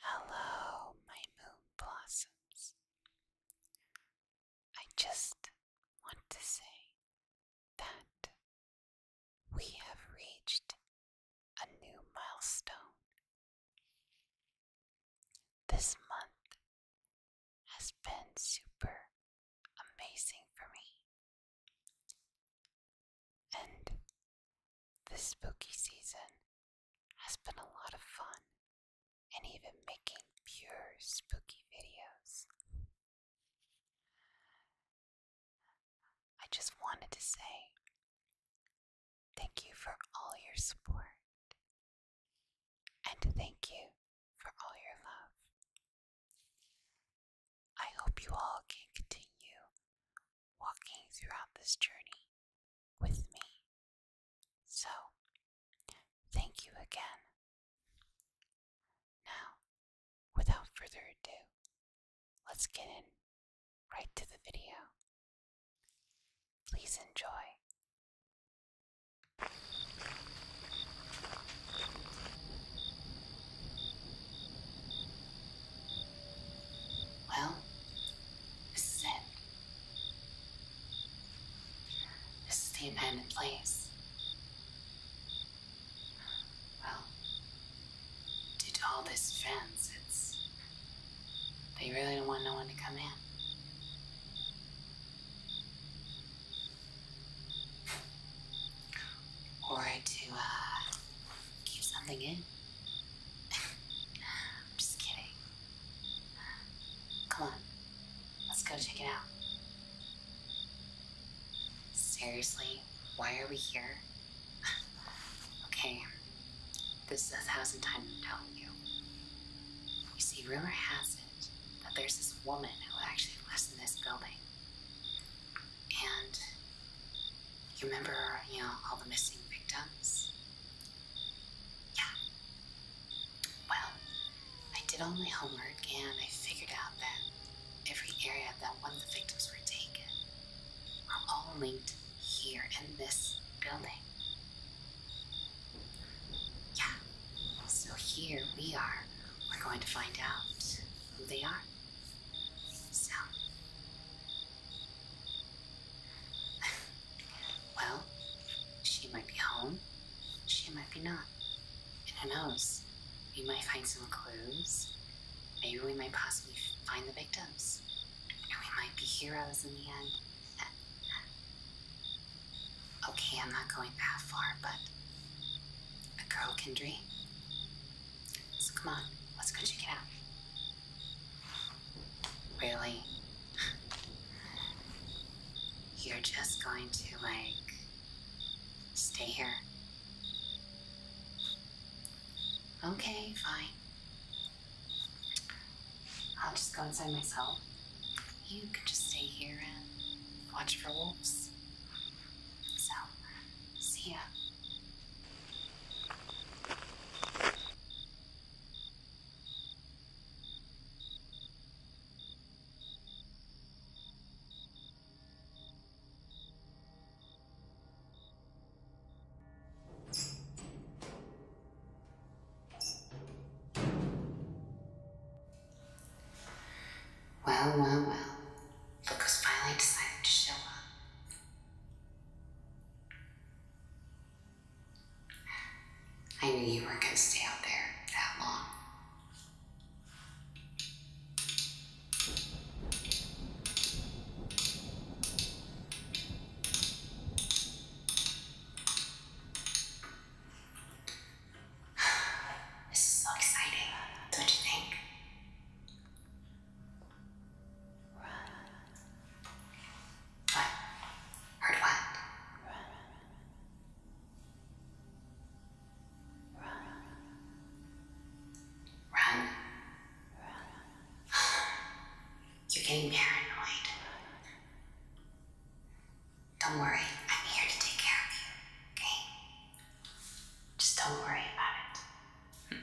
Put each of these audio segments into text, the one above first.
Hello, my moon blossoms. I just want to say that we have reached a new milestone. This month has been super amazing for me. And this spooky season has been a lot of fun and even making pure spooky videos. I just wanted to say thank you for all your support and thank you for all your love. I hope you all can continue walking throughout this journey with me. So, thank you again. Now, without further ado, let's get in right to the video. Please enjoy. Well, this is it. This is the abandoned place. Well, due all this fence, it's. They really don't want no one to come in. or to uh, keep something in. I'm just kidding. Come on, let's go check it out. Seriously, why are we here? okay, this is hasn't time to tell you. You see, rumor has it that there's this woman who actually lives in this building. And you remember, you know, all the missing victims? Yeah. Well, I did all my homework and I figured out that every area that one of the victims were taken are all linked here in this building. Yeah. So here we are. We're going to find out who they are. So, well, she might be home. She might be not. who knows? We might find some clues. Maybe we might possibly find the victims. And we might be heroes in the end. okay, I'm not going that far, but a girl can dream. So come on, let's go check it out. Really? You're just going to, like, stay here? Okay, fine. I'll just go inside myself. You can just stay here and watch for wolves. So, see ya. Well, well, well. Look who's finally decided to show up. I knew you weren't going to stay out there that long. This is so exciting, don't you think? Run. What? Heard what? Run. Run. Run. Run. You're getting paranoid. Don't worry, I'm here to take care of you, okay? Just don't worry about it. Hmm.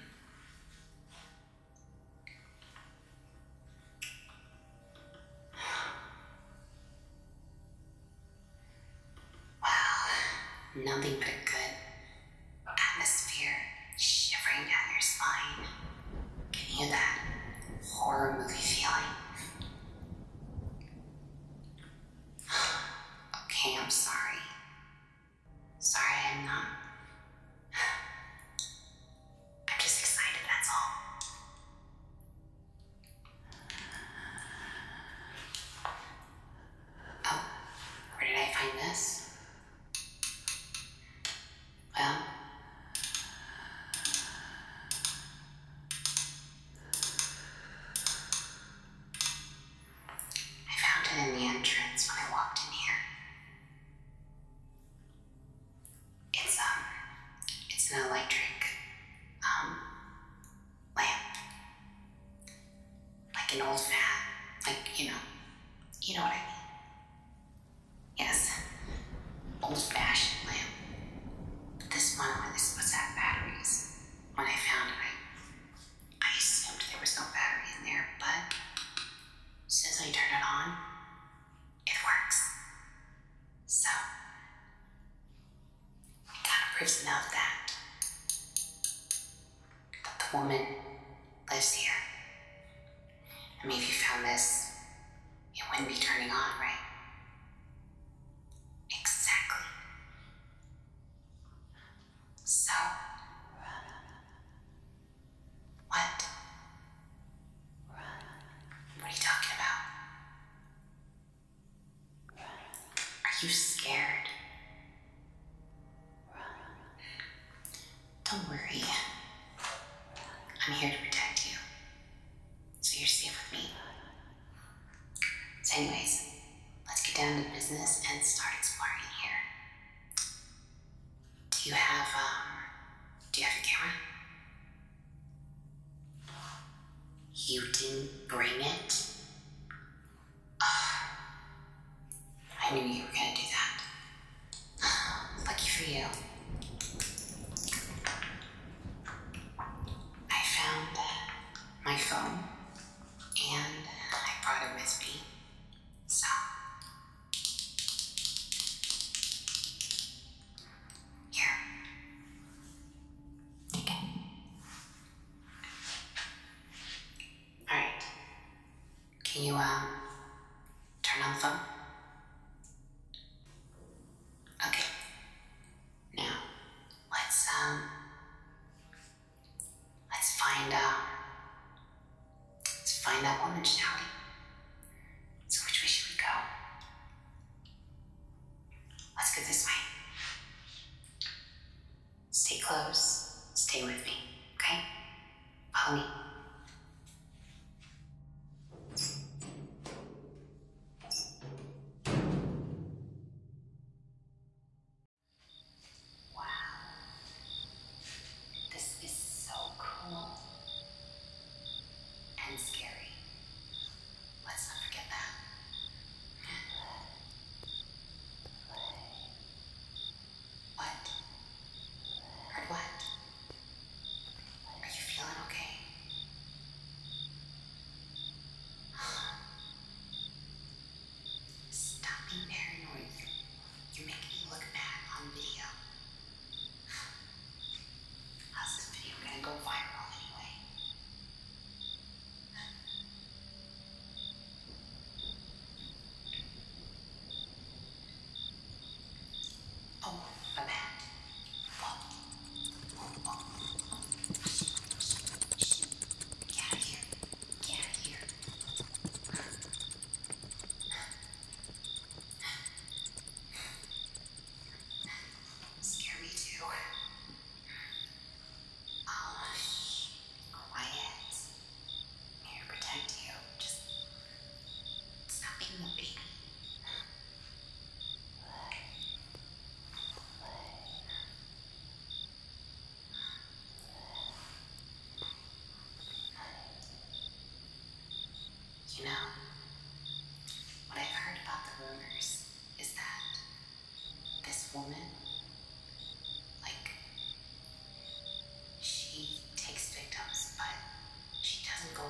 Wow, nothing but a good atmosphere shivering down your spine, giving you that horror movie feeling. okay, I'm sorry. Sorry I'm not I'm just excited, that's all. Oh, where did I find this? Well, I found it in the entrance when I walked in here. It's um, it's an electric um lamp, like an old fat, like you know, you know what I mean. Yes, old-fashioned lamp. this one where this was at batteries. When I found it, I I assumed there was no battery in there, but since I turned it on, it works. So, it got of proves now that, that the woman lives here. I mean, if you found this, it wouldn't be turning on, right? Exactly. So, what? Run. What are you talking about? Run. Are you scared? Run. Don't worry. I'm here to protect you. So you're safe with me. So anyways, let's get down to business and start exploring here. Do you have, um, do you have your camera? You didn't bring it? I knew you were gonna do that. Lucky for you. I found uh, my phone and I brought it with me. So, here. Okay. All right. Can you, uh, turn on the phone? Okay. Now, let's, um, let's find, uh, Let's find that one in So which way should we go? Let's go this way. Stay close. Stay with me, okay? Follow me. Wow. This is so cool and scary. Let's not forget that. What? Heard what? Are you feeling okay? Stop being paranoid. You make me look bad on video. How's this video gonna go viral anyway? Oh, my bad. Oh. Oh, oh, oh, oh. Shh. Get out of here. Get out of here. Scare me too. Oh, shh. Quiet. Here, protect you. Just stop being a baby. You know, what I've heard about the rumors is that this woman, like, she takes victims, but she doesn't go,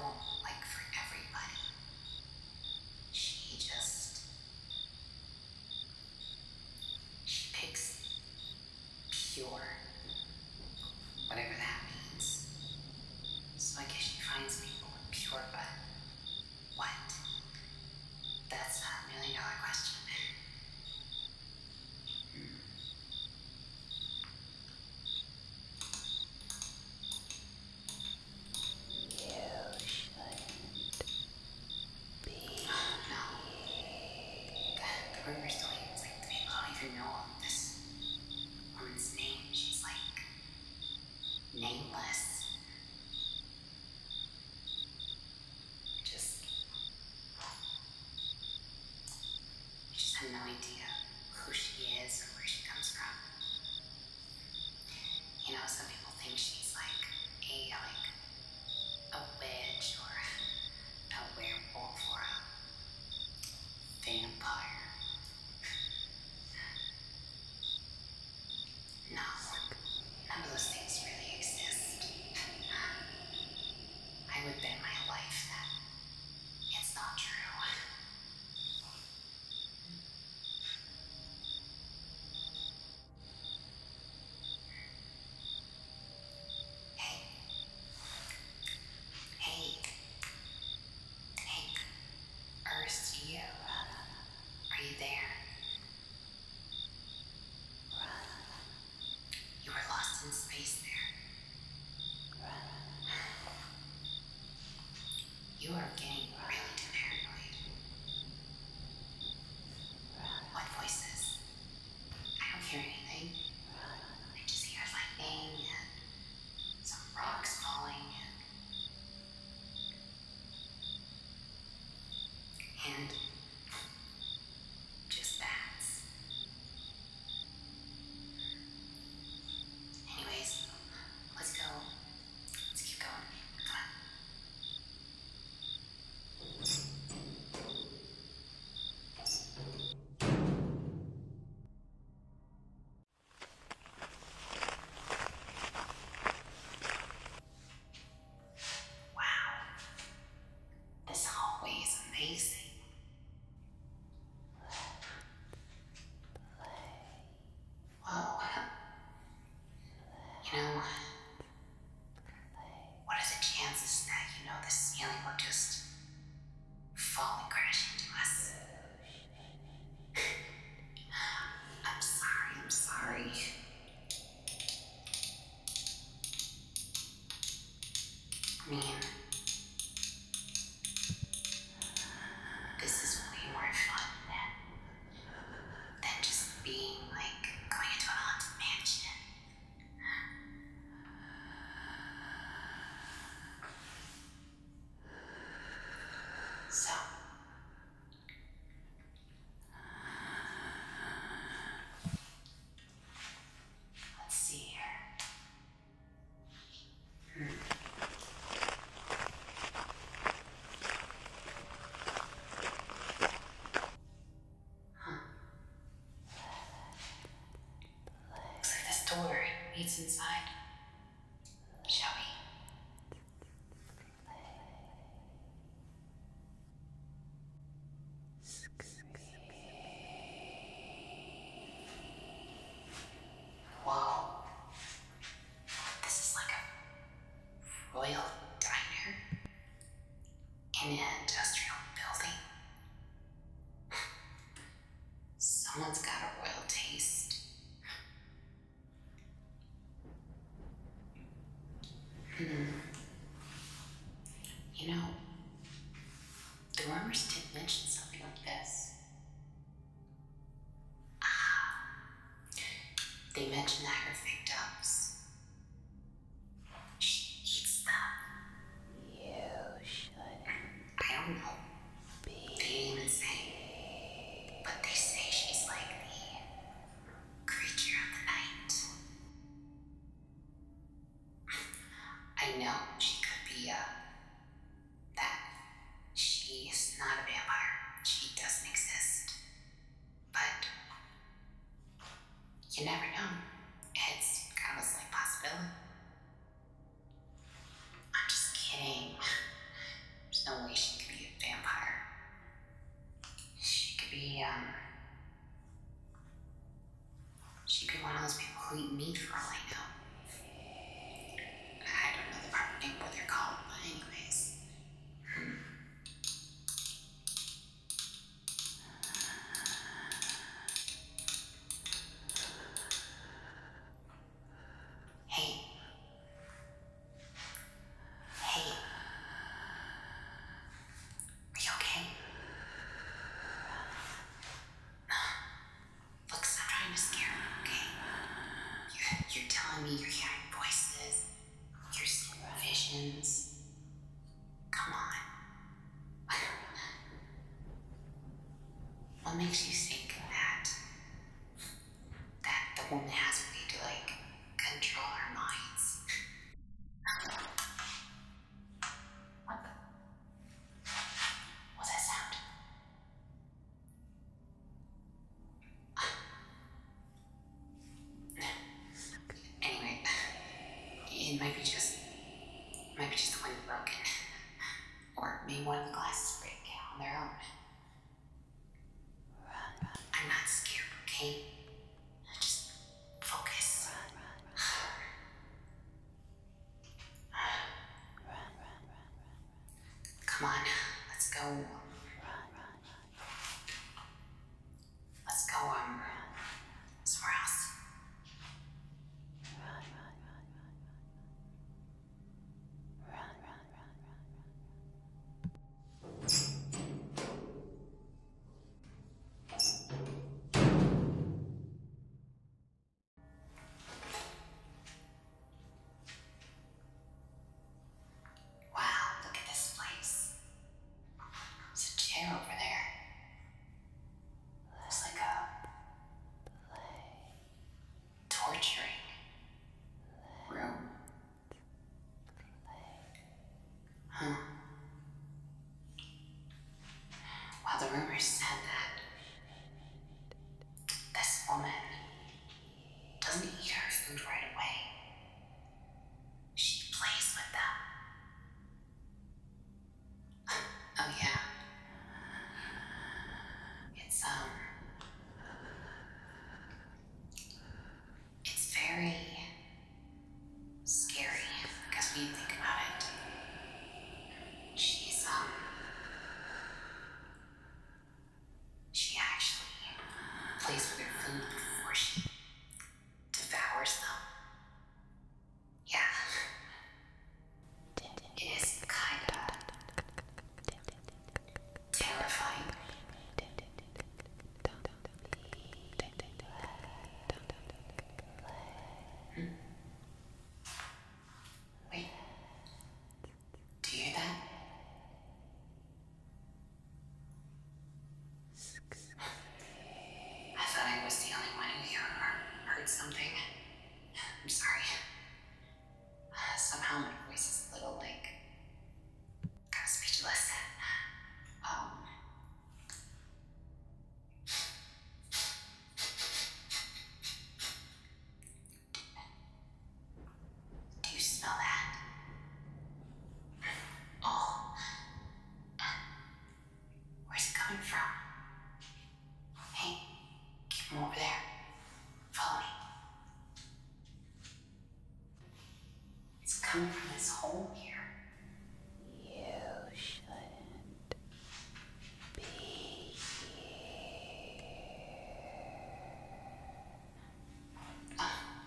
like, for everybody. She just. She picks pure Whatever that means. So I guess she finds people with pure butt. What? That's a million dollar question. You shouldn't be. Oh, no. God, the rumor still even like, people don't even know all this one's name. She's like nameless. Just, I just have no idea who she is or where she comes from. You know, some people think she's like a like a witch or a werewolf or a Vampire. No, none of those things really exist. I would bet my life that it's not true. Hey. Hank, Ernest, you. Are you there? You were lost in space there. You are getting really paranoid. What voices? I don't hear anything. I just hear lightning and some rocks falling. And just bats. Anyways, let's go. Let's keep going. Come on. Wow, hallway is amazing. Whoa. You know, what are the chances that you know the ceiling will just fall crashing crash into us. I'm sorry, I'm sorry. mean, this is way more fun than, than just being like going into a haunted mansion. So, let's see here. Hmm. Huh. Looks like this door leads inside. Shall we? Whoa. This is like a royal diner in an industrial building. Someone's got a royal taste. Hmm. You know, the rumors did mention something like this. Ah, they mentioned that her victims. She eats them. You should I don't know. They even say. But they say she's like the creature of the night. I know she could be a. that. She not a vampire. She doesn't exist. But. You never know. It's kind of a like possibility. I'm just kidding. There's no way she could be a vampire. She could be, um. She could be one of those people who eat meat for all I know. I don't know the proper name, what they're called, but anyways. Hey. Hey. Are you okay? Look, stop trying to scare me, okay? you you're telling me you're hearing voices, you're seeing visions. Come on. What makes you think that that the woman has a way to like control our minds? what? The? that sound? Anyway, it might be just might be just the wind broken or may one glasses break on their own. I'm not scared, okay? Just focus. Run, run, run. run, run, run, Come on, let's go. Run, run, run. Let's go um, somewhere else. Run, run, run, run, run. Wow, look at this place. There's a chair over there. Looks like a play torturing room. Huh. Well, the rumors said that this woman doesn't eat her food right away. She plays with them. oh yeah, it's um it's very scary because when you think about it, she's um she actually plays with her food before she devours them. Yeah. It is kind of terrifying. Wait, do you hear that? I thought I was the only one who heard something. I'm sorry. Uh, somehow my voice is a little like kind of speechless. Um, do you smell that? Oh, where's it coming from? Hey, keep him over there. Follow me. It's coming from this hole here. You shouldn't be here.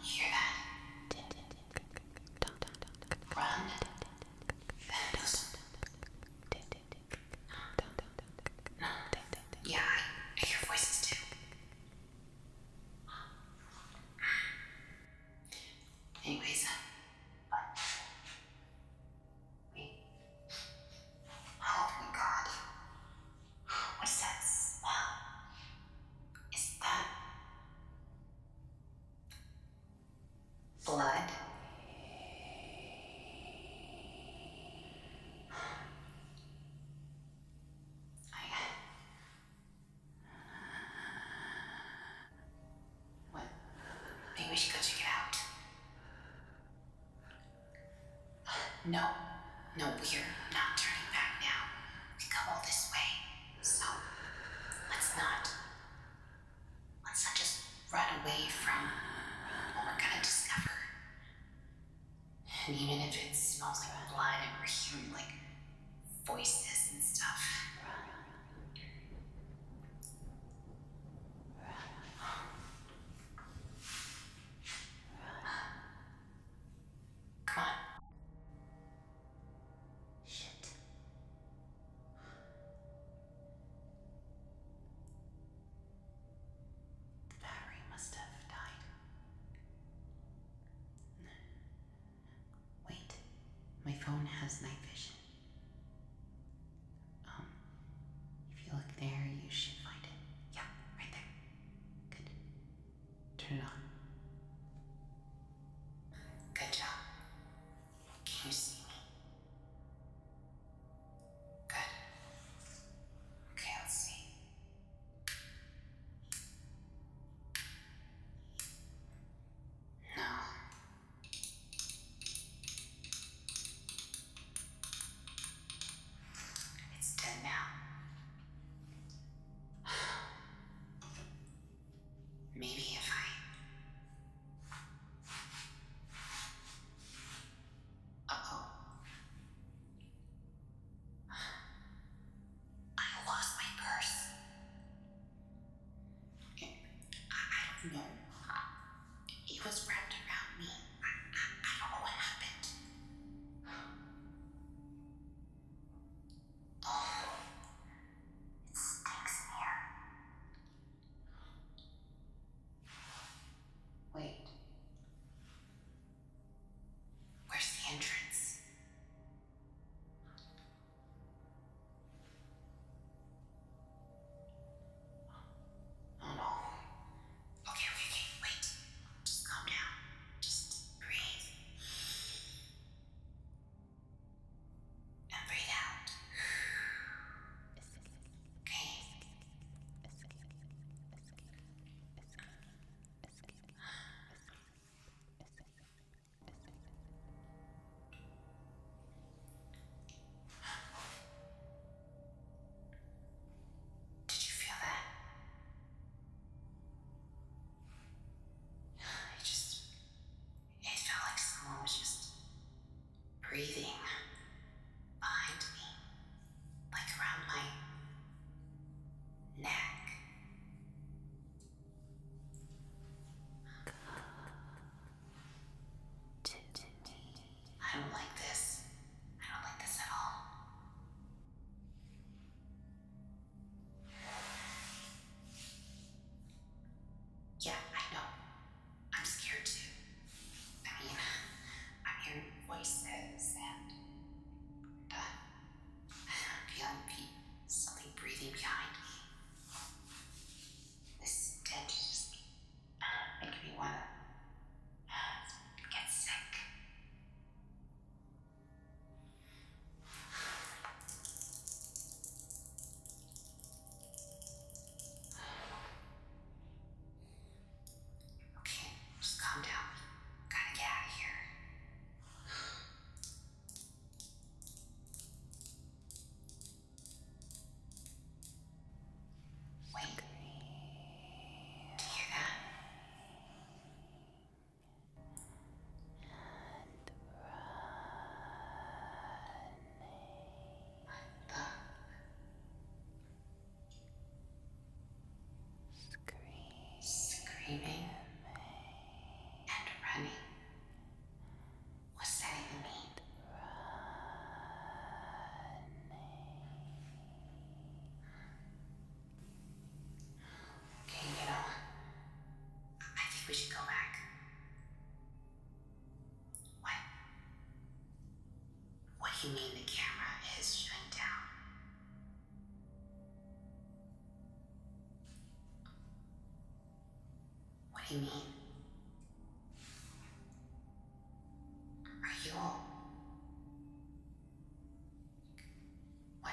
hear that? Run. Yeah, I, hear voices too. Anyways, uh, wait. Oh my god. What is that smell? Is that blood? No, no, we're not turning back now. We come all this way, so let's not. Let's not just run away from what we're gonna discover. And even if it smells like blood and we're hearing like voices and stuff. Come on. Shit. Battery must have died. Wait, my phone has night vision. Um, if you look there, you should find it. Yeah, right there. Good. Turn it on. Good job. Can you see me? Good. Okay, let's see. No. It's dead now. Maybe if I uh-oh. I lost my purse. I, I don't know. Uh, it was wrapped around me. I, I, I don't know what happened. it stinks here. Wait. Where's the entrance? Oh no. Okay, okay, okay, wait. Just calm down. Just breathe. And breathe out. Okay. Did you feel that? I just. It felt like someone was just breathing behind me, like around my neck. I don't like this. I don't like this at all. Yeah, I know. I'm scared too. I mean, I hear voices and uh, feeling pe- something breathing behind me. This stench is me want to uh, get sick. Okay, just calm down. Gotta get out of here. Wait. Do you And running. Screaming, Screaming and running. What's that even mean? Okay, you know, I think we should go back. What? What do you mean the camera is shutting down? What do you mean? Are you What?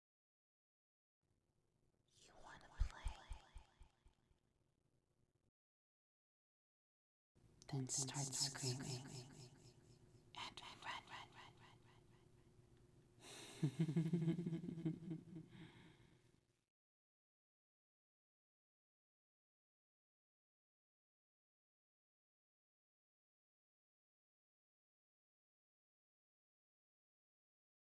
You want to play? Then start screaming and run, run, run, run.